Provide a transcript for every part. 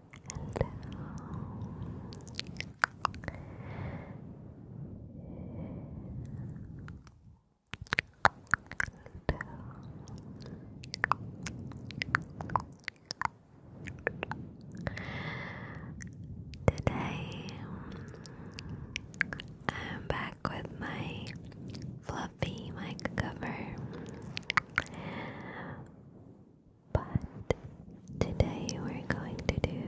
Today I'm back with my fluffy mic cover. But today we're going to do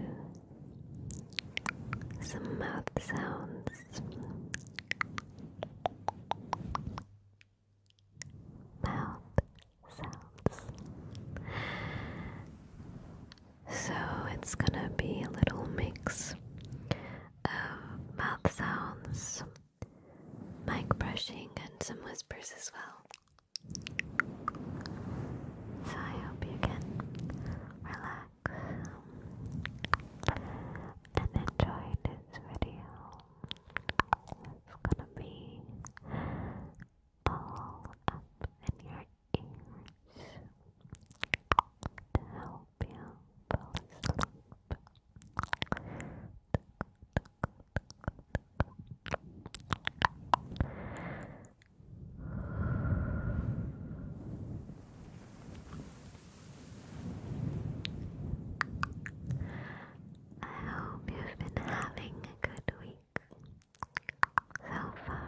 some mouth sounds. Mouth sounds. So it's gonna be a little mix of mouth sounds mic brushing, and some whispers as well. So I hope you can relax um, and enjoy this video. It's gonna be all up in your ears to help you fall asleep. I hope you've been having a good week so far.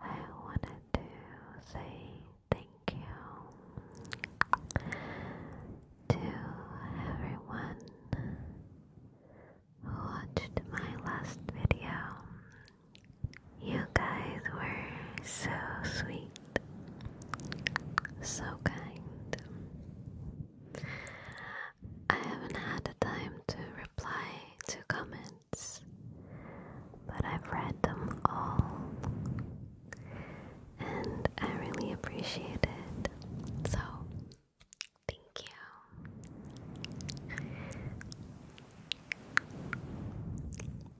I wanted to say thank you to everyone who watched my last video. You guys were so sweet so kind. I haven't had the time to reply to comments, but I've read them all and I really appreciate it. So, thank you.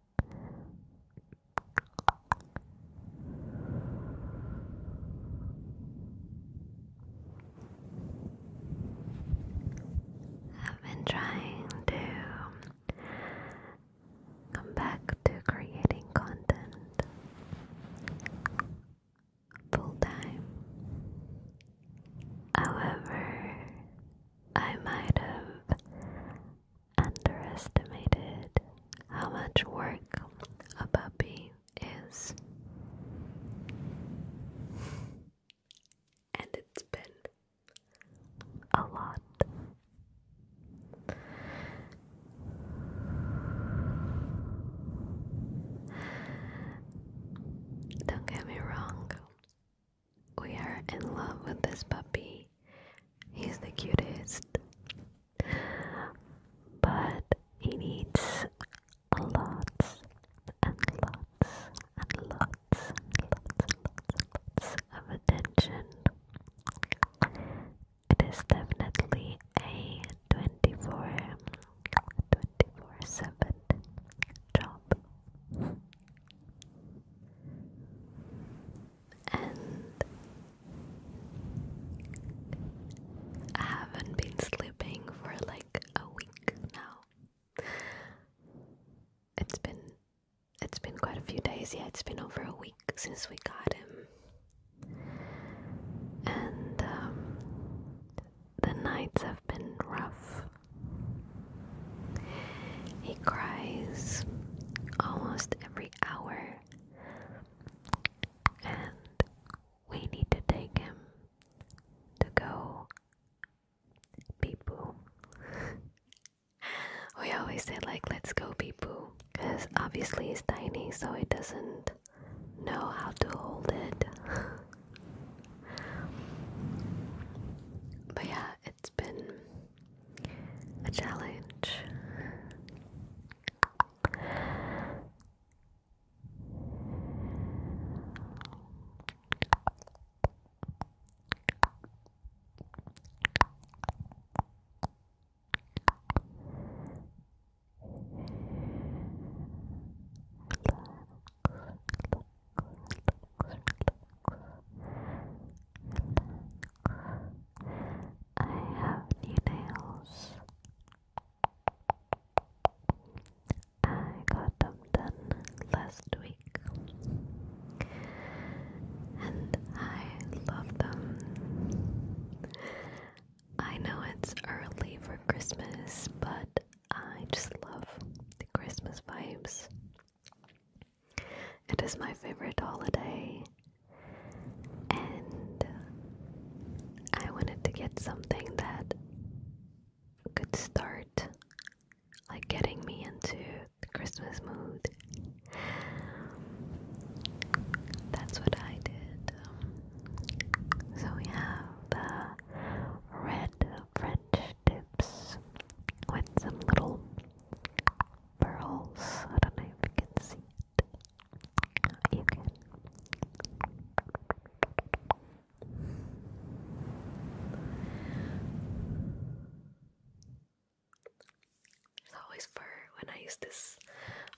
I've been trying to come back to creating content full time. However, I might have underestimated how much work a puppy is. And it's been a lot. Don't get me wrong, we are in love with this puppy. He's the cutest. But he needs lots and lots and lots and lots and lots, of attention. It is definitely a 24 7 job. And I haven't been sleeping for like a week now. It's been it's been quite a few days, yeah, it's been over a week since we got him. And um, the nights have been rough. He cries almost every hour, and we need to take him to go pee poo. we always say, like, let's go pee poo, because obviously he's tiny, so he doesn't know how to hold it. but yeah, it's been a challenge. I have new nails. I got them done last week, and I love them. I know it's early for Christmas, but I just love the Christmas vibes. It is my favorite holiday, and I wanted to get something that could start like getting me into the Christmas mood. That's what I did. So we have the red French tips with some little pearls. I don't know if you can see it. You can. There's always fur when I use this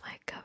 mic cover.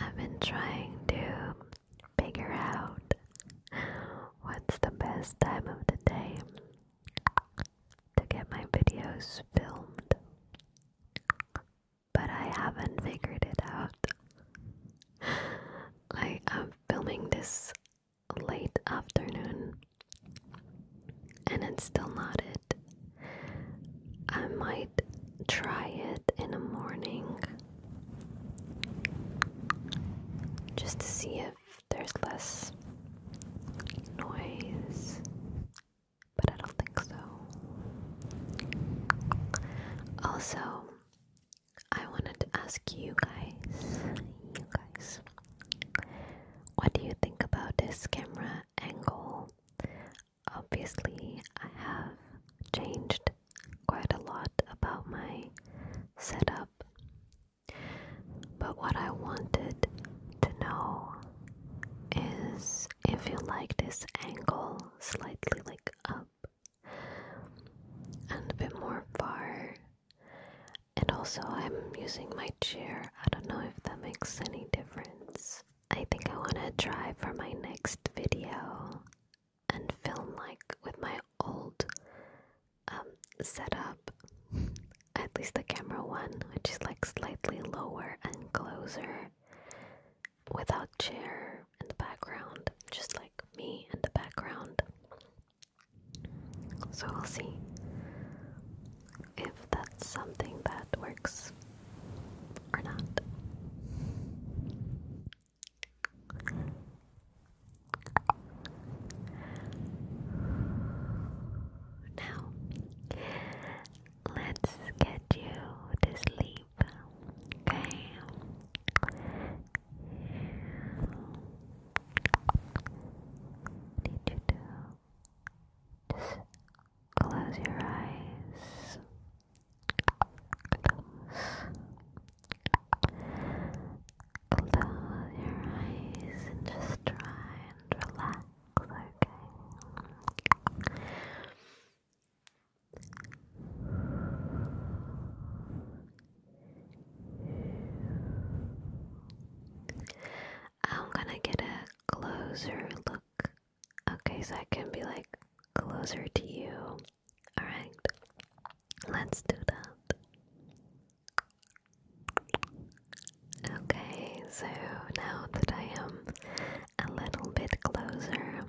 I've been trying to figure out what's the best time of the day to get my videos filmed, but I haven't figured it out. Like, I'm filming this late afternoon and it's still not it. I might try it in the morning just to see if there's less noise, but I don't think so. Also, I wanted to ask you guys, you guys, what do you think about this camera? angle. Obviously, I have changed quite a lot about my setup, but what I wanted to know is if you like this angle slightly like up and a bit more far, and also, I'm using my chair. I don't know if that makes any difference. I think I want to try for my next video and film like with my old um, setup, at least the camera one, which is like slightly lower and closer without chair in the background, just like me in the background. So we'll see if that's something that works or not. Now, let's get you to sleep, okay? did you do? Just close your eyes. Close. your eyes and just try and relax, okay? I'm gonna get a closer look. Okay, so I can be like closer to you. Alright, let's do that. Okay, so now that I am a little bit closer,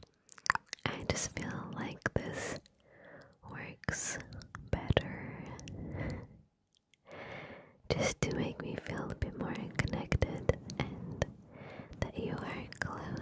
I just feel like this works better just to make me feel a bit more connected and that you are closer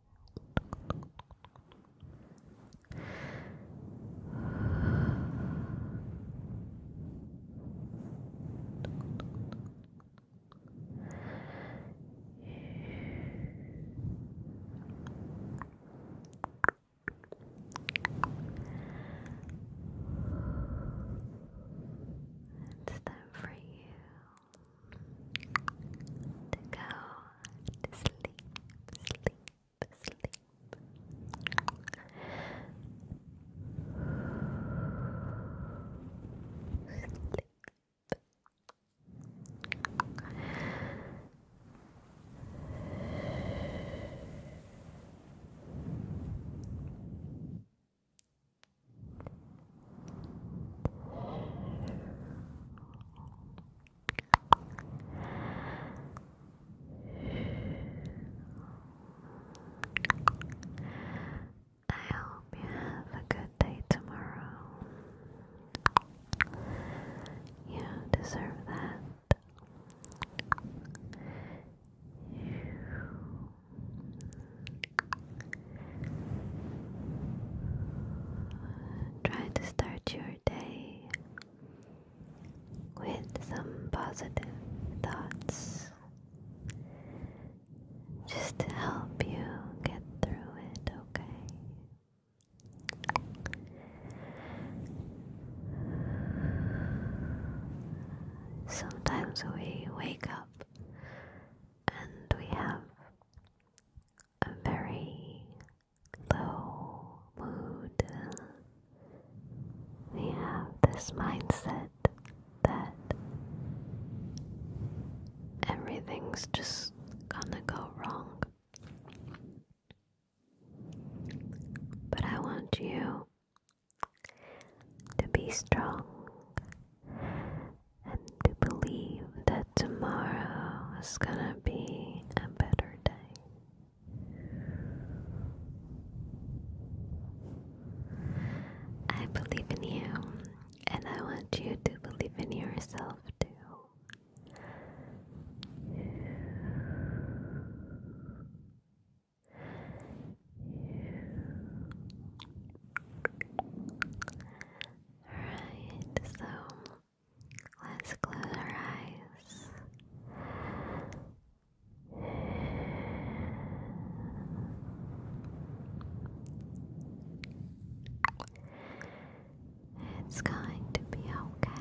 It's time for you to go to sleep, sleep, sleep. Sleep. I hope you have a good day tomorrow. You deserve that. Try to start your day with some positive thoughts just to help you get through it, okay? Sometimes we wake up and we have a very low mood. We have this mindset that everything's just gonna go wrong. But I want you to be strong, and to believe that tomorrow is gonna be a better day. I believe in you, and I want you to believe in yourself too. Alright, so let's close our eyes. It's going to be okay.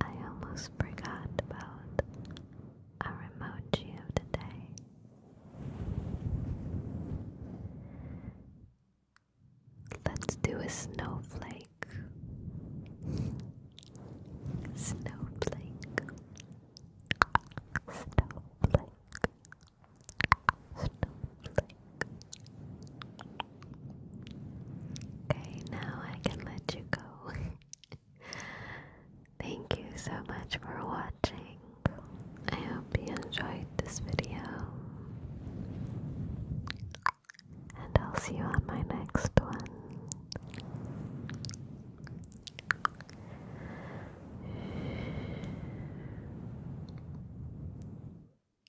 I almost forgot about our emoji of the day. Let's do a snowflake. Snowflake. Snowflake. Snowflake. Okay, now I can let you go. Thank you so much for watching. I hope you enjoyed this video. And I'll see you on my next one.